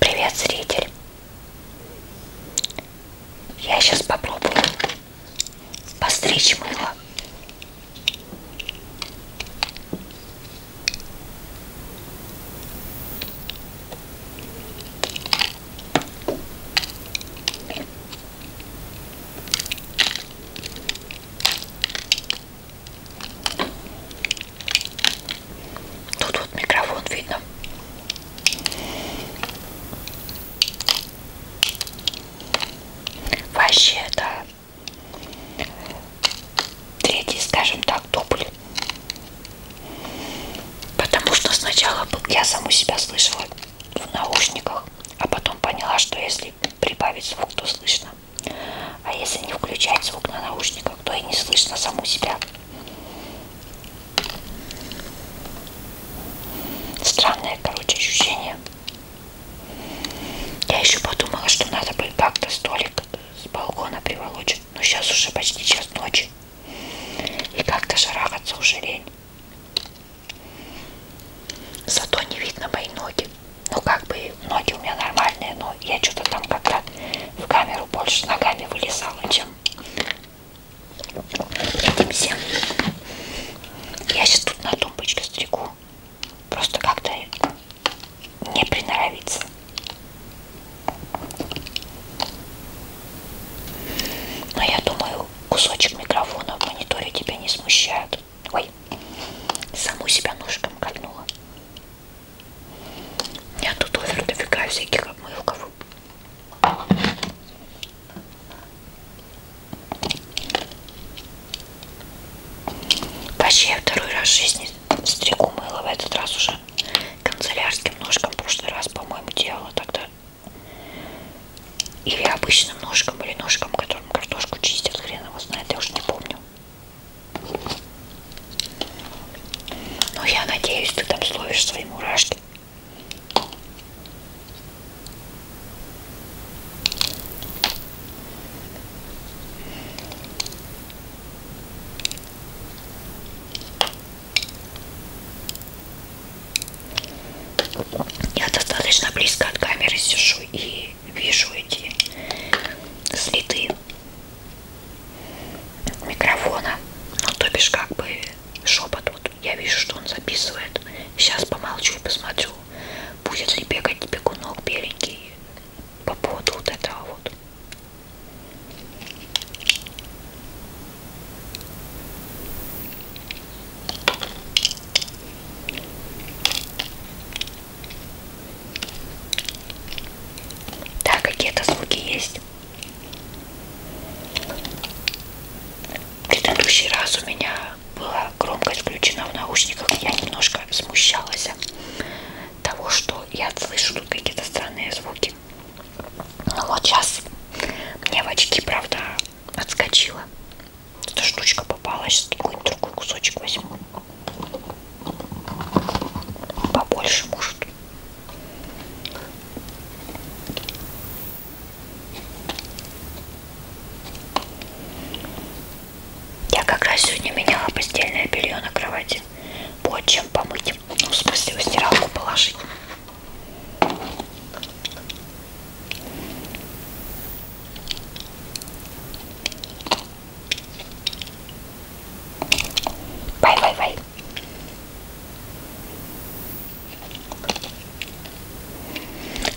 Привет, зритель! Я сейчас попробую постричь мыло. Тут вот микрофон видно. Вообще это третий, скажем так, дубль. Потому что сначала я саму себя слышала в наушниках, а потом поняла, что если прибавить звук, то слышно. А если не включать звук на наушниках, то и не слышно саму себя. Странное, короче, ощущение. Я еще подумала, что надо бы как-то столик с балкона приволочь. Но сейчас уже почти час ночи. И как-то шарахаться уже лень. Зато не видно мои ноги. Ну как бы ноги у меня нормальные, но но я что-то там как раз в камеру больше ногами вылезала, чем этим всем. Я сейчас тут на тумбочке стригу. Просто как-то не приноровиться. Но я думаю, кусочек микрофона в мониторе тебя не смущает. Ой, саму себя ножком кольнула. Нет, тут овер дофига всяких обмылков. Вообще я второй раз в жизни стригу мыло в этот раз уже канцелярским ножком. В прошлый раз, по-моему, делала тогда. Или обычным ножком, или ножком, которым картошку чистят, хрен его знает, я уже не помню. Ну, я надеюсь, ты там словишь свои мурашки. Я достаточно близко от камеры сижу и вижу эти следы микрофона, ну то бишь как бы шепот, вот я вижу, что он записывает, сейчас помолчу и посмотрю, будет ли бегать бегунок беленький по поводу вот этого вот. Да, какие-то звуки есть. В предыдущий раз у меня была громкость включена в наушниках. Я немножко смущалась того, что я слышу тут какие-то странные звуки. Но вот сейчас мне в очки, правда, отскочила. Эта штучка попалась. Сейчас какой-нибудь другой кусочек возьму. Побольше, может. Я как раз сегодня меняла постельное белье на кровати. Вот чем помыть. Ну, в смысле, в стиралку положить. Vai, vai, vai.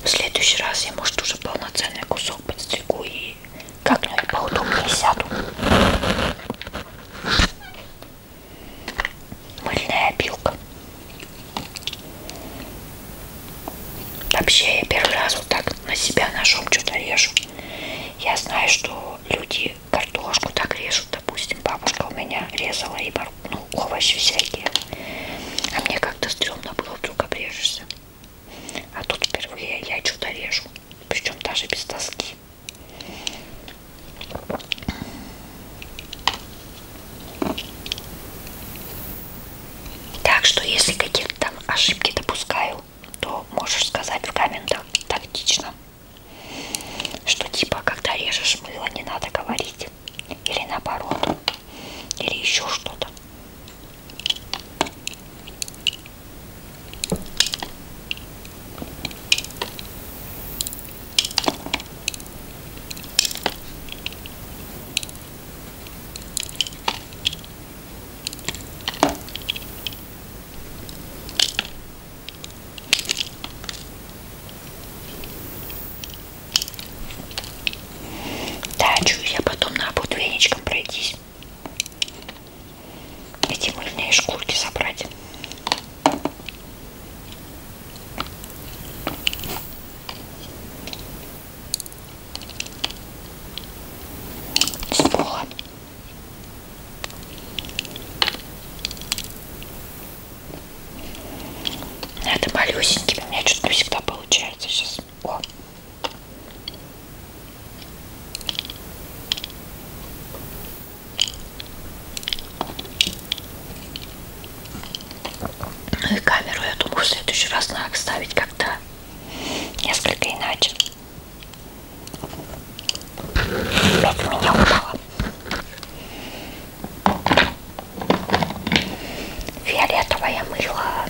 В следующий раз я, может, уже полноценный кусок подстригу и как-нибудь поудобнее сяду. Мыльная опилка. Вообще, я первый раз вот так на себя ножом что-то режу. Я знаю, что люди картошку так режут, допустим, бабушка у меня резала и ну, овощи всякие. А мне как-то стрёмно было, вдруг обрежешься. А тут впервые я что-то режу, причем даже без тоски. Так что, если какие-то там ошибки допускаю, то можешь сказать в комментах тактично. Что типа, когда режешь мыло, не надо говорить. Или наоборот. Или еще что-то. Да, чую я потом на буду веничком пройтись. Эти мыльные шкурки собрать. С пола надо ну, малюсенькими. У меня что-то всегда получается сейчас. О. Ну и камеру я думаю в следующий раз надо ставить как-то несколько иначе. Опять у меня упало. Фиолетовое мыло.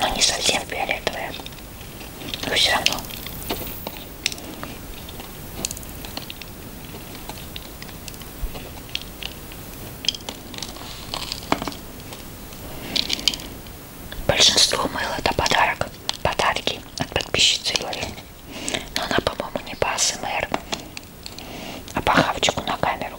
Но не совсем фиолетовое. Но все равно. Большинство мыл это подарок, подарки от подписчицы Юли. Но она, по-моему, не по АСМР, а по хавчику на камеру.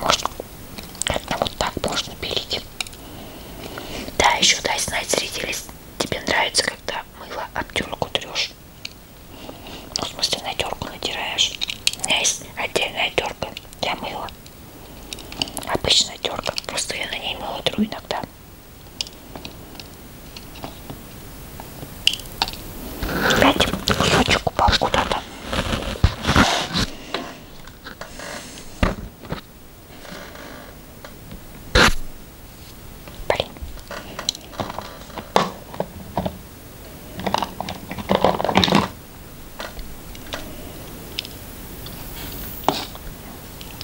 Может, как-то вот так можно пилить. Да, еще дай знать, зрители, тебе нравится, когда мыло обтерку трешь. Ну, в смысле, на терку натираешь. У меня есть отдельная терка для мыла. Обычная терка. Просто я на ней мыла тру иногда. Опять кусочек упал куда-то. Блин.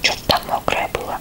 Что-то там мокрое было.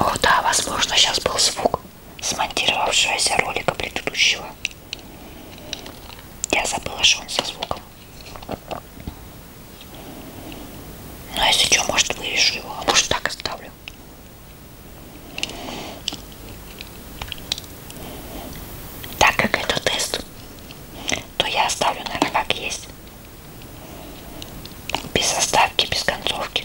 О, да, возможно, сейчас был звук смонтировавшегося ролика предыдущего. Я забыла, что он со звуком. Но ну, а если что, может вырежу его, а может так оставлю. Так как это тест, то я оставлю, наверное, как есть. Без оставки, без концовки.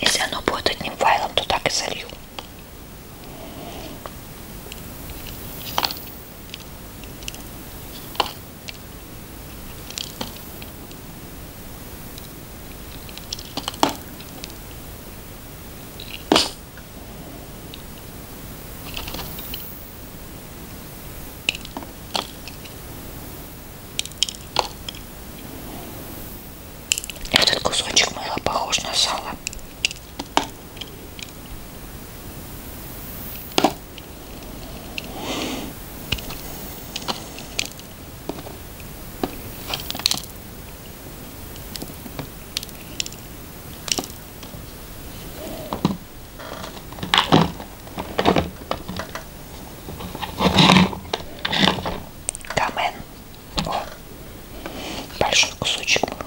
Если оно будет одним файлом, то так и залью. Этот кусочек мыла похож на сало. Камен. О, большой кусочек был.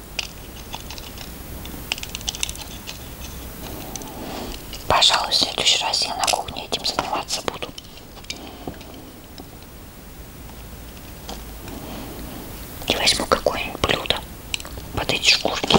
Пожалуй, в следующий раз я на кухне этим заниматься буду. И возьму какое-нибудь блюдо под эти шкурки.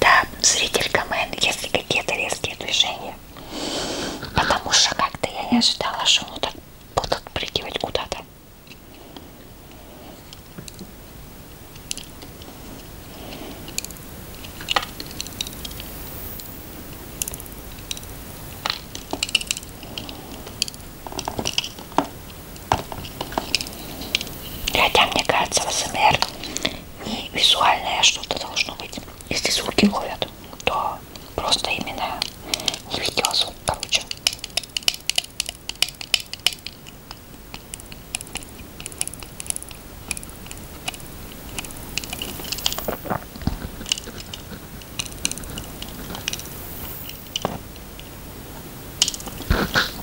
Да, зритель Комен, если какие-то резкие движения. Потому что как-то я не ожидала, что он так будут прыгивать куда-то. Хотя, мне кажется, в СМР не визуальное что-то должно быть. Если звуки ловят, то просто именно не видеозвук, короче.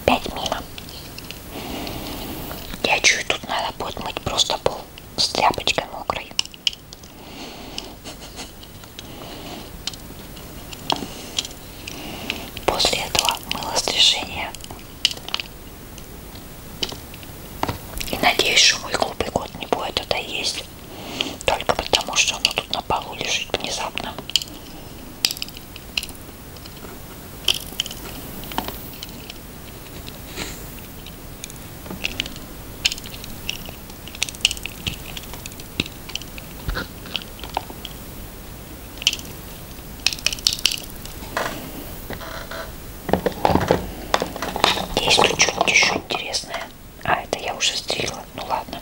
Опять мимо. Я чую, тут надо будет мыть просто пол с тряпочкой мокрой. После этого мыло стрижения и надеюсь, что мой глупый кот не будет это есть. Только потому, что оно тут на полу лежит внезапно. Есть тут что-нибудь еще интересное. А, это я уже стригла. Ну ладно.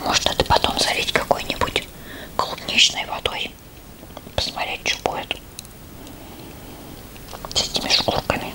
Может это потом залить какой-нибудь клубничной водой. Посмотреть, что будет с этими шкурками.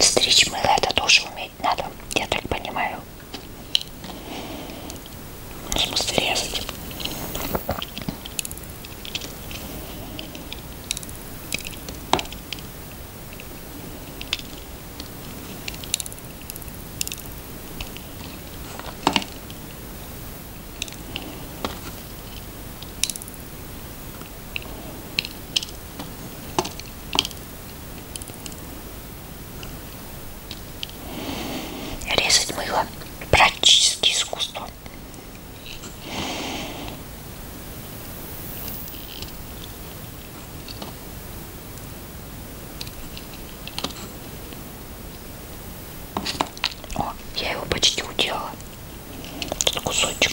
Стричь мыло это тоже у иметь надо, я так понимаю. В смысле резать. Резать мыло практически искусство. О, я его почти уделала. Тут кусочек.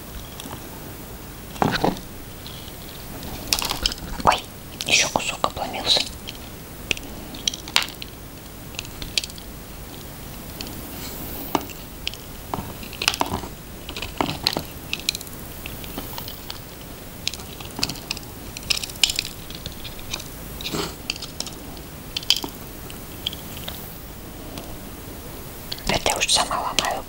Ой, еще кусок обломился. Это я уж сама ломаю.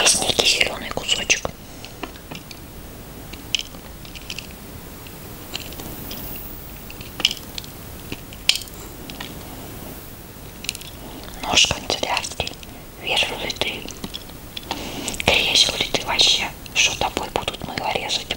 Есть некий зеленый кусочек. Нож канцелярский. Вижу ли ты? Кресел ли ты вообще? Что тобой будут мыло резать?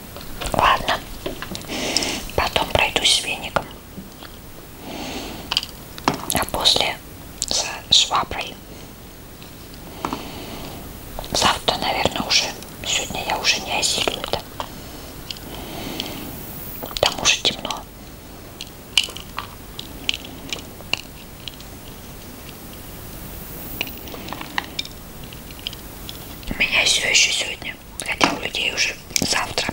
Ладно, потом пройдусь с веником, а после с шваброй. Завтра, наверное, уже, сегодня я уже не осилю это. Там уже темно. У меня все еще сегодня сегодня, хотя у людей уже завтра.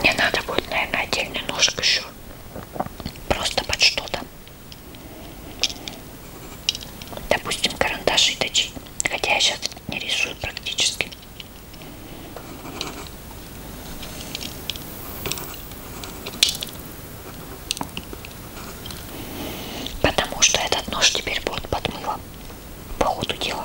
Мне надо будет, наверное, отдельный ножик еще. Просто под что-то. Допустим, карандаши точить. Хотя я сейчас не рисую практически. Потому что этот нож теперь будет подмыло по ходу дела.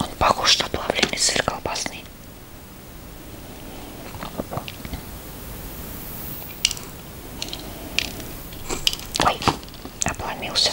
Он похож на плавленый сыр колбасный. Ой, обломился.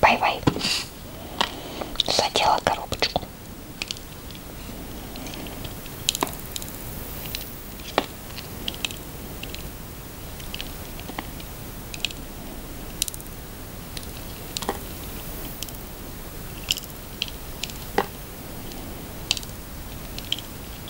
Бай-бай. Задела коробочку.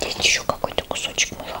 Здесь еще какой-то кусочек мыла.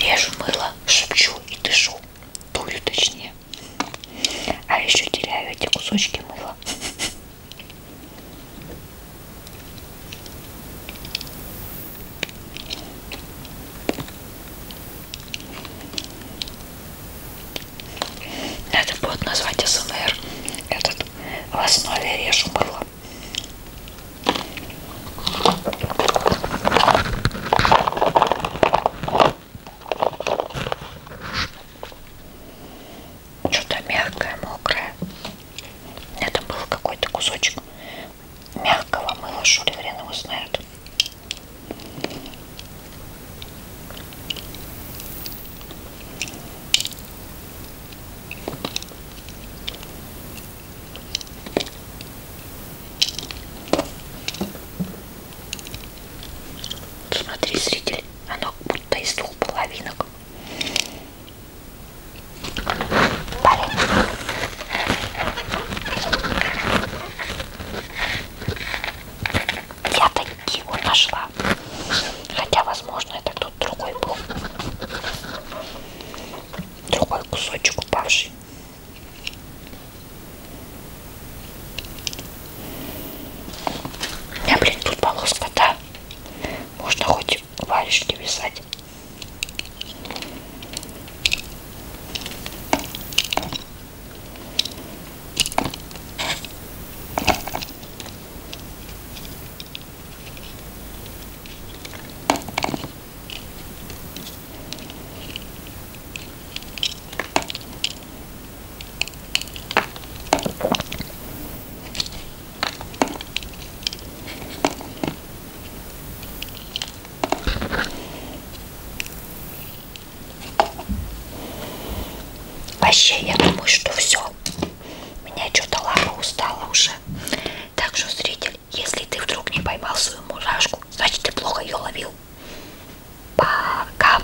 Режу мыло, шепчу и дышу. Дурю точнее. А еще теряю эти кусочки мыла. Надо будет назвать СМР. Этот в основе режу мыло. Что-то мягкое, мокрое. Это был какой-то кусочек мягкого мыла, что ли, хрен его знает. Смотри, зритель, оно торта из двух половинок. Парень. Я таки его нашла. Хотя, возможно, это кто-то другой был. Другой кусочек упавший. У меня, блин, тут полоска, да? Можно хоть варежки вязать. Вообще, я думаю, что все. Меня что-то Лара устала уже. Так что, зритель, если ты вдруг не поймал свою мурашку, значит ты плохо ее ловил. Пока.